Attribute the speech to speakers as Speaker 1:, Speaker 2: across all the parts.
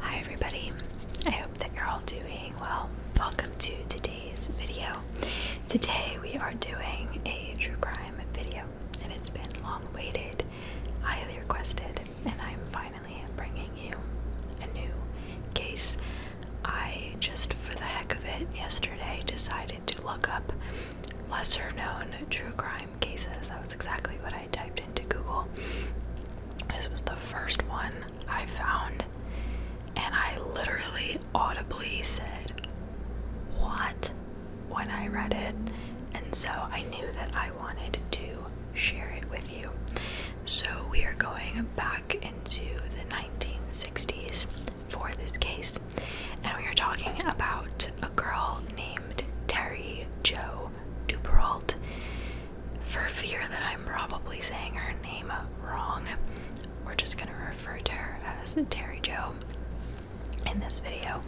Speaker 1: Hi everybody, I hope that you're all doing well. Welcome to today's video. Today we are doing a true crime video and it's been long waited, highly requested, and I'm finally bringing you a new case. I just for the heck of it yesterday decided to look up lesser known true crime cases. That was exactly what I. I typed into Google. This was the first one I found, and I literally audibly said, What? when I read it. And so I knew that I wanted to share it with you. So we are going back into the 1960s for this case, and we are talking about a girl named Terry Jo Duperault for fear that I'm probably saying her name wrong, we're just gonna refer to her as Terry Joe in this video.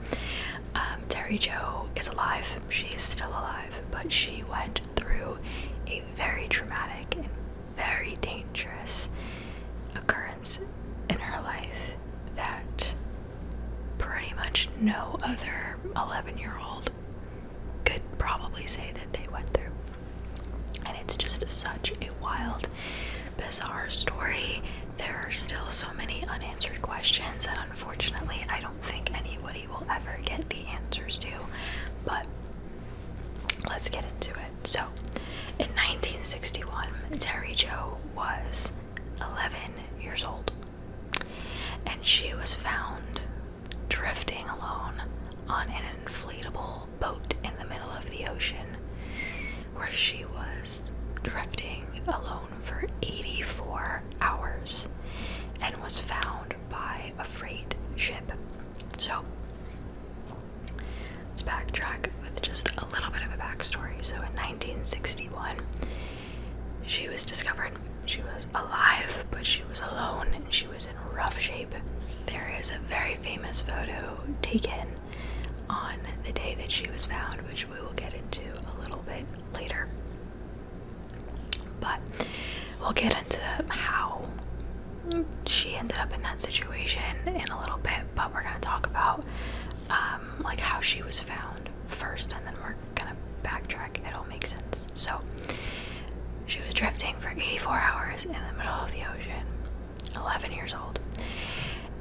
Speaker 1: Um, Terry Joe is alive, she's still alive, but she went through a very traumatic and very dangerous occurrence in her life that pretty much no other 11 year old could probably say that they went through. And it's just such a wild, bizarre story. There are still so many unanswered questions and unfortunately I don't think anybody will ever get the answers to. But let's get into it. So, in 1961, Terry Joe was 11 years old and she was found drifting alone on an inflatable boat in the middle of the ocean, where she was drifting alone for 84 hours and was found by a freight ship. So, let's backtrack with just a little bit of a backstory. So, in 1961, she was discovered. She was alive, but she was alone and she was in rough shape. There is a very famous photo taken on the day that she was found, which we will get into a little bit later. But we'll get into how she ended up in that situation in a little bit, but we're going to talk about um, like how she was found first and then we're kind of backtrack, it all makes sense. So, she was drifting for 84 hours in the middle of the ocean, 11 years old.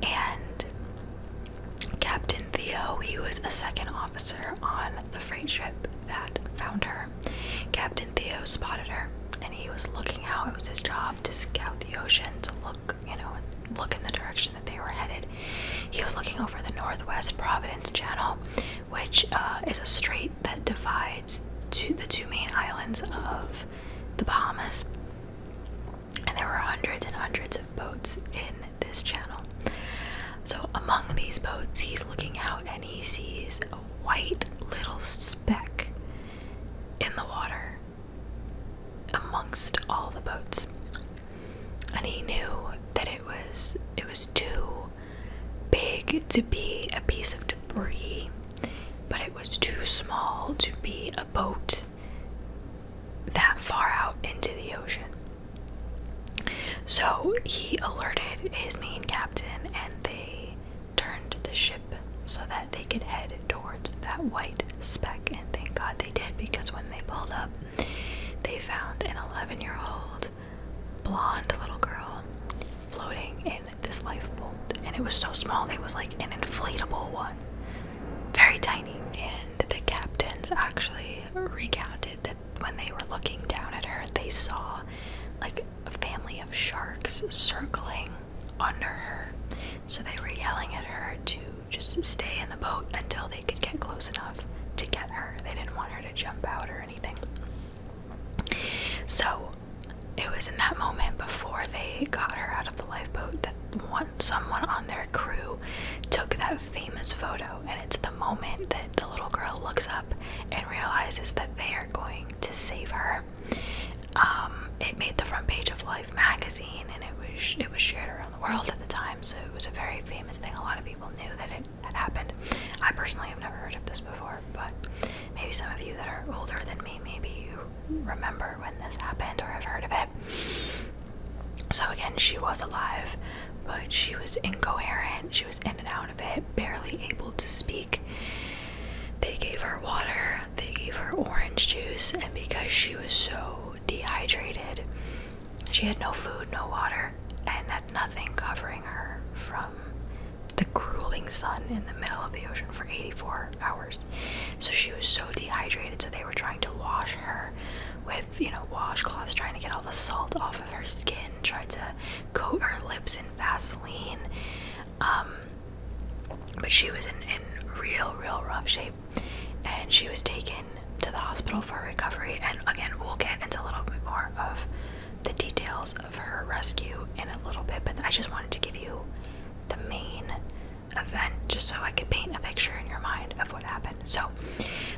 Speaker 1: And Captain Theo, he was a second officer on the freight ship that found her. Captain Theo spotted her and he was looking out. It was his job to scout the ocean, to look, you know, look in the direction they were headed. He was looking over the Northwest Providence Channel, which uh, is a strait that divides the two main islands of the Bahamas. And there were hundreds and hundreds of boats in this channel. So, among these boats, he's looking out and he sees a white little speck in the water amongst all the boats and he knew that it was it was too big to be a piece of debris, but it was too small to be a boat that far out into the ocean. So he alerted his main captain and they turned the ship so that they could head towards that white speck and thank God they did because when they pulled up they found an 11 year old blonde little girl floating in this lifeboat. And it was so small, it was like an inflatable one, very tiny. And the captains actually recounted that when they were looking down at her, they saw like a family of sharks circling under her. So they were yelling at her to just stay in the boat until they could get close enough to get her. They didn't want her to jump out or anything. So it was in that moment before they got her out of the lifeboat that one, someone on their crew took that famous photo, and it's the moment that the little girl looks up and realizes that they are going to save her. Um, it made the front page of Life magazine, and it was it was shared around the world at the time, so it was a very famous thing. A lot of people knew that it had happened. I personally have never heard of this before, but maybe some of you that are older than me, maybe you remember when this happened or have heard of it. So, again, she was alive, but she was incoherent. She was in and out of it, barely able to speak. They gave her water, they gave her orange juice, and because she was so dehydrated, she had no food, no water, and had nothing covering her from the grueling sun in the middle of the ocean for 84 hours. So she was so dehydrated, so they were trying to wash her with, you know, washcloths, trying to get all the salt off of her skin, tried to coat her lips in Vaseline. Um, but she was in, in real, real rough shape and she was taken to the hospital for recovery. And again, we'll get into a little bit more of the details of her rescue in a little bit, but I just wanted to give you the main event just so I could paint a picture in your mind of what happened. So,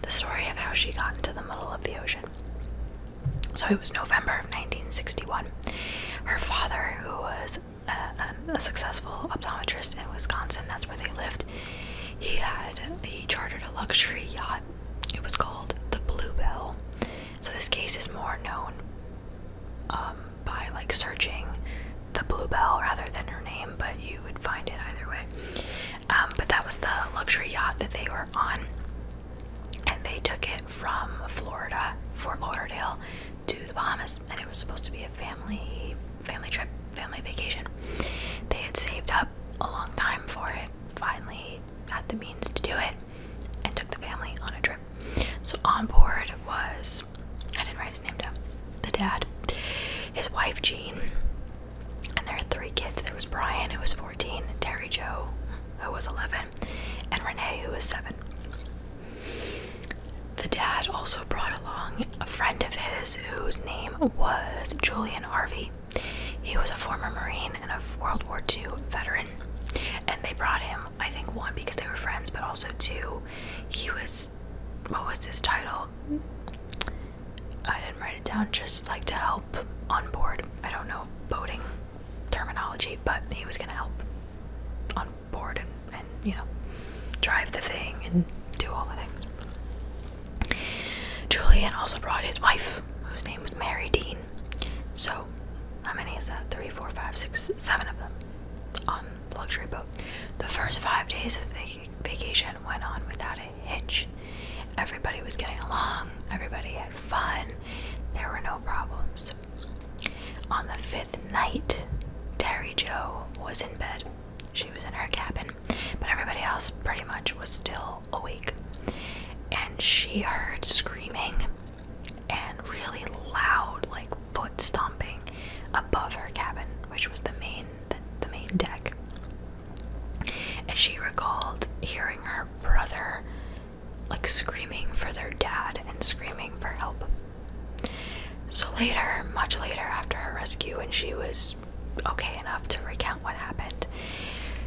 Speaker 1: the story of how she got into the middle of the ocean. So, it was November of 1961. Her father, who was a, successful optometrist in Wisconsin, that's where they lived, he had he chartered a luxury yacht. It was called the Bluebell. So this case is more known um, by like searching the Bluebell rather than her name, but you would find it either way. Um, but that was the luxury yacht that they were on, and they took it from Florida, Fort Lauderdale, to the Bahamas, and it was supposed to be a family family trip, family vacation. They had saved up a long time for it, finally had the means to do it, and took the family on a trip. So on board was, I didn't write his name down, the dad, his wife Jean, and their three kids. There was Brian, who was 14, Terry Joe, who was 11, and Renee, who was 7. The dad also brought along a friend of his whose name was Julian Harvey. He was a former Marine and a World War II veteran. And they brought him, I think, one, because they were friends, but also two, he was, what was his title? I didn't write it down, just like to help on board. I don't know boating terminology, but he was going to help on board and, you know, drive the thing Julian also brought his wife, whose name was Mary Dean. So, how many is that? Three, four, five, six, seven of them on the luxury boat. The first five days of vac vacation went on without a hitch. Everybody was getting along, everybody had fun, there were no problems. On the fifth night, Terry Joe was in bed she was in her cabin, but everybody else pretty much was still awake. And she heard screaming and really loud, like foot stomping above her cabin, which was the main the, the main deck. And she recalled hearing her brother like screaming for their dad and screaming for help. So later, much later after her rescue, and she was okay enough to recount what happened,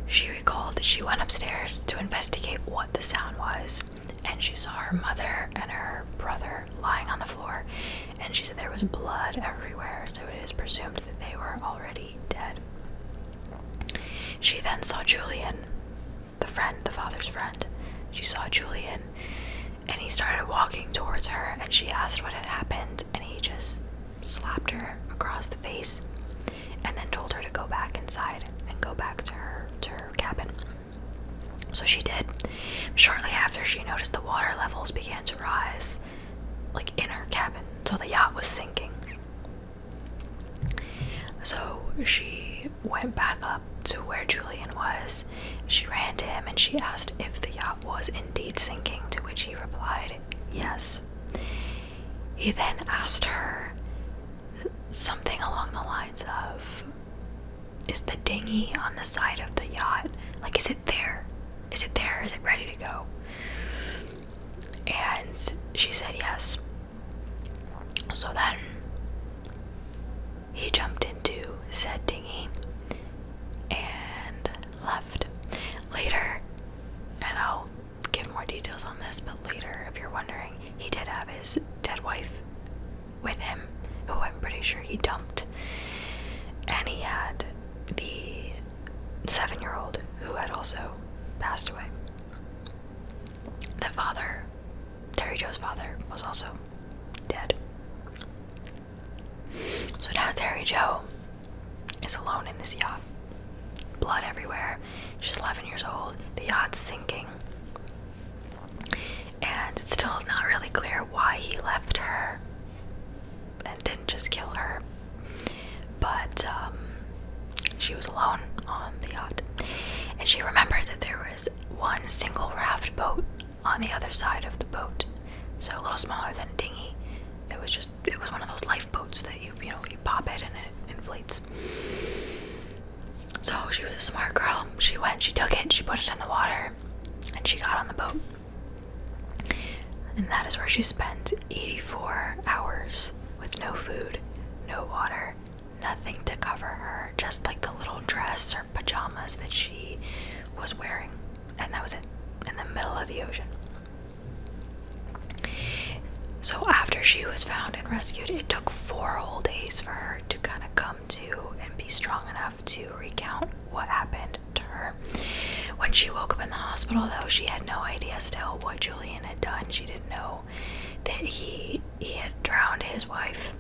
Speaker 1: she recalled that she went upstairs to investigate what the sound was, and she saw her mother and her brother lying on the floor, and she said there was blood everywhere, so it is presumed that they were already dead. She then saw Julian, the friend, the father's friend. She saw Julian and he started walking towards her and she asked what had happened and he just slapped her across the face and then told her to go back inside and go back to her to her cabin so she did shortly after she noticed the water levels began to rise like in her cabin so the yacht was sinking so she went back up to where Julian was she ran to him and she asked if the yacht was indeed sinking, to which he replied, Yes. He then asked her something along the lines of, Is the dinghy on the side of the yacht? Like, is it there? Is it there? Is it ready to go? And she said yes. So then he jumped into said dinghy and left. Later, and I'll give more details on this, but later, if you're wondering, he did have his dead wife with him, who I'm pretty sure he dumped. And he had the seven year old who had also passed away. The father, Terry Joe's father, was also dead. So now Terry Joe is alone in this yacht. Blood everywhere. She's 11 years old. The yacht's sinking. And it's still not really clear why he left her and didn't just kill her. But um, she was alone on the yacht. And she remembered that there was one single raft boat on the other side of the boat, so a little smaller than dinghy. It was just it was one of those lifeboats that you you know you pop it and it inflates. So she was a smart girl. She went, she took it, she put it in the water, and she got on the boat. And that is where she spent 84 hours with no food, no water, nothing to cover her, just like the little dress her pajamas that she was wearing, and that was it in the middle of the ocean. So, after she was found and rescued, it took four whole days for her to kind of come to and be strong enough to recount what happened to her. When she woke up in the hospital, though, she had no idea still what Julian had done. She didn't know that he he had drowned his wife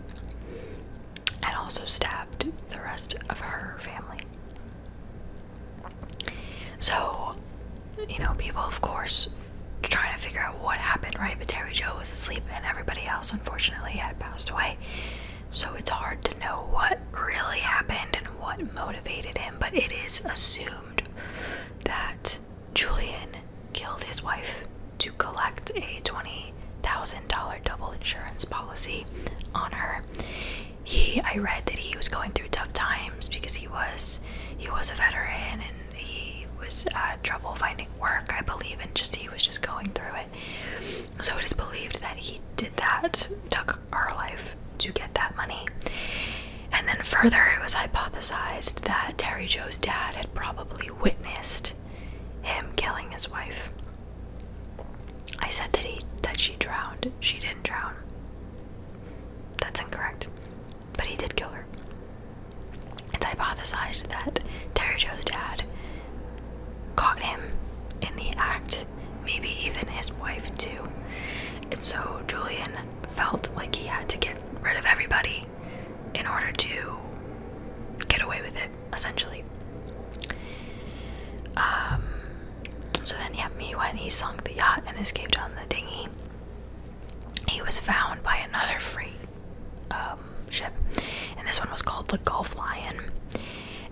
Speaker 1: and also stabbed the rest of her family. So, you know, people, of course, trying to figure out what happened, right? But Terry Joe was asleep, and everybody else, unfortunately, had passed away. So it's hard to know what really happened and what motivated him, but it is assumed that Julian killed his wife to collect a $20,000 double insurance policy on her. He I read that he was going through tough times because he was he was a veteran and he was uh, trouble finding work, I believe, and just he was just going through it. So it is believed that he did that, took her life to get that money. And then further, it was hypothesized that Terry Joe's dad had probably witnessed him killing his wife. I said that he that she drowned. She didn't drown. That's incorrect. But he did kill her. It's hypothesized that Terry Joe's dad caught him in the act, maybe even his wife too. And so Julian felt like he had to get rid of everybody in order to get away with it essentially. Um, so then, yeah, me when he sunk the yacht and escaped on the dinghy, he was found by another freight um, ship, and this one was called the Gulf Lion,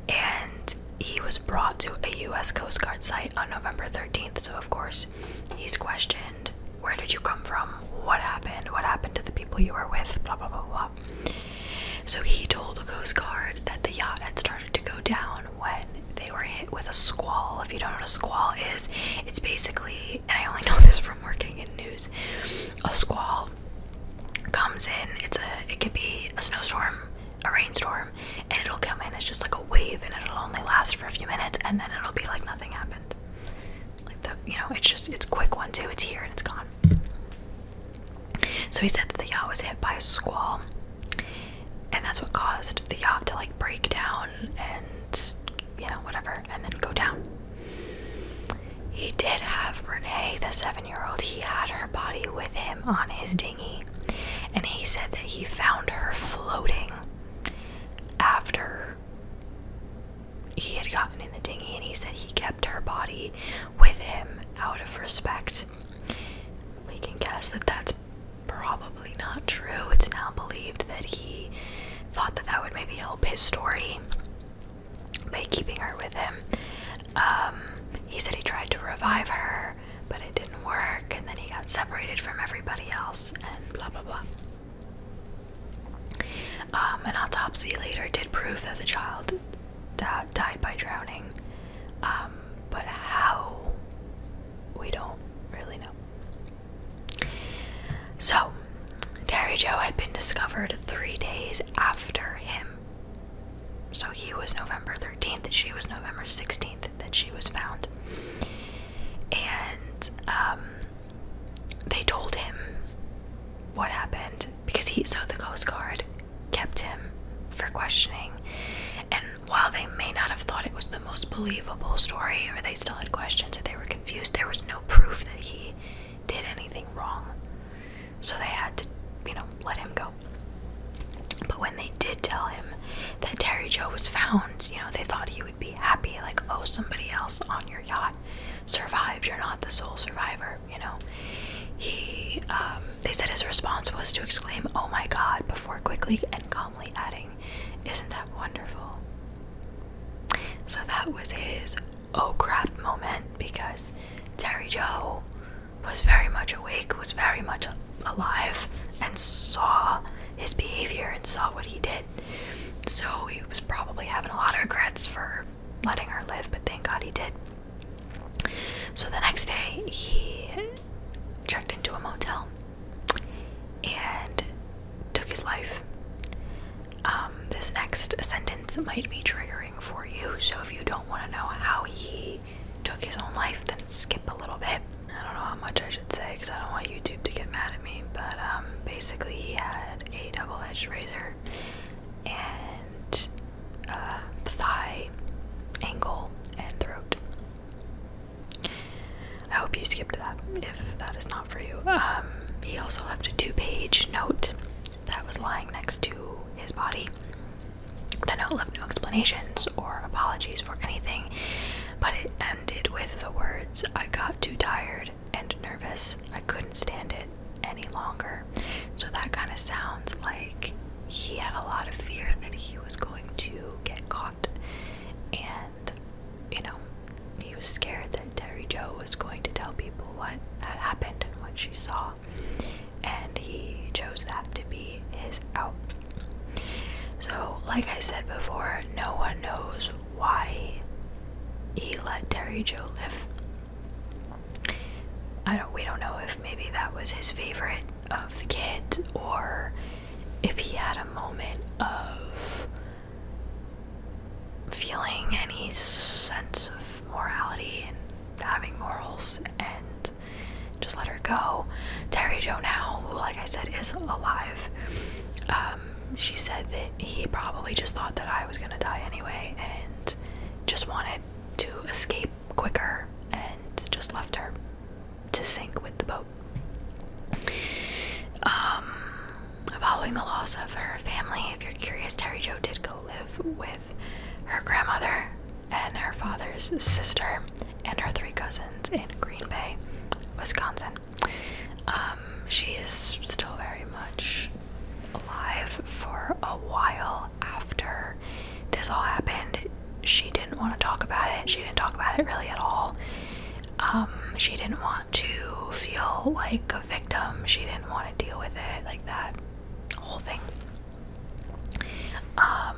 Speaker 1: and he was brought to a U.S. Coast Guard site on November 13th. So of course, he's questioned. Where did you come from? What happened? What happened to the people you were with? Blah blah blah blah. So he told the Coast Guard that the yacht had started to go down when they were hit with a squall. If you don't know what a squall is, it's basically, and I only know this from working in news, a squall comes in, it's a it can be a snowstorm, a rainstorm, and it'll come in, it's just like a wave and it'll only last for a few minutes and then it'll be like nothing happened. Like the you know, it's just it's quick one too, it's here and it's gone. So he said that the yacht was hit by a squall, and that's what caused the yacht to like break down and you know, whatever, and then go down. He did have Renee, the seven year old, he had her body with him on his dinghy, and he said that he found her floating after he had gotten in the dinghy and he said he kept her body with him out of respect. We can guess that that's probably not true. It's now believed that he thought that that would maybe help his story by keeping her with him. Um, he said he tried to revive her, but it didn't work, and then he got separated from everybody else, and blah blah blah. Um, an autopsy later did prove that the child died by drowning, um, but how we don't really know. So, Terry Joe had been discovered three days after him. So he was November 13th, she was November 16th that she was found. And um, they told him what happened because he so the Coast Guard kept him for questioning. And while they may not have thought it was the most believable story, or they still had questions, or they were confused, there was no proof that he did anything wrong. So they had to, you know, let him go. But when they did tell him that Terry Joe was found, you know, they thought he would be happy, like, oh, somebody else on your yacht survived, you're not the sole survivor, you know. He, um, they said his response was to exclaim, Oh my God, before quickly and calmly adding, Isn't that wonderful? So that was his oh crap moment because Terry Joe was very much awake, was very much alive, and saw his behavior and saw what he did. So he was probably having a lot of regrets for letting her live, but thank God he did. So the next day, he checked into a motel and took his life. Um, this next sentence might be triggering for you, so if you don't want to know how he took his own life, then skip a little bit. I don't know how much I should say because I don't want YouTube to get mad at me, but um, basically, he had a double edged razor and uh, thigh, ankle, and throat. I hope you skipped that if that is not for you. Ah. Um, he also left a two page note that was lying next to his body. The note left no explanations or apologies for anything, but it ended with the words I got too tired and nervous. I couldn't stand it any longer. So that kind of sounds like he had a lot of fear that he was going to get caught. And, you know, he was scared that Terry Joe was going to tell people what had happened and what she saw. And he chose that to be his out. So, like I said before, no one knows why he let Terry Joe live. I don't we don't know if maybe that was his favorite of the kid, or if he had a moment of feeling any sense of morality and having morals and just let her go. Terry Joe now, who like I said is alive, uh, um, she said that he probably just thought that I was gonna die anyway and just wanted to escape quicker and just left her to sink with the boat. Um, following the loss of her family, if you're curious, Terry Joe did go live with her grandmother and her father's sister and her three cousins in Green Bay, Wisconsin. Um, she is still very much alive for a while after this all happened. She didn't want to talk about it. She didn't talk about it really at all. Um, she didn't want to feel like a victim. She didn't want to deal with it like that whole thing. Um,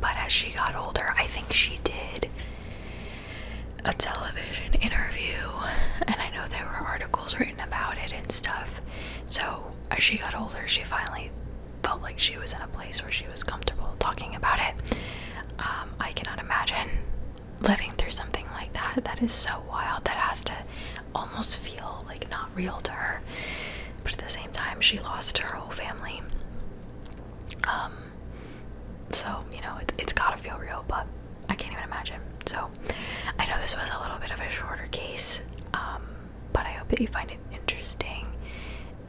Speaker 1: but as she got older, I think she did a television interview, and I know there were articles written about it and stuff. So, as she got older, she finally felt like she was in a place where she was comfortable talking about it. Um, I cannot imagine living through something like that. That is so wild. That has to almost feel like not real to her. But at the same time, she lost her whole family. Um, so, you know, it, has gotta feel real, but I can't even imagine. So, I know this was a little bit of a shorter case, um, but I hope that you find it interesting.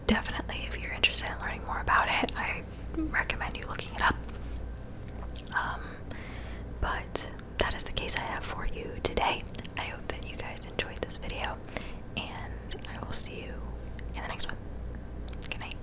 Speaker 1: Definitely, if you're interested in learning more about it, I recommend you looking it up. Um, but that is the case I have for you today. I hope that you guys enjoyed this video, and I will see you in the next one. Good night.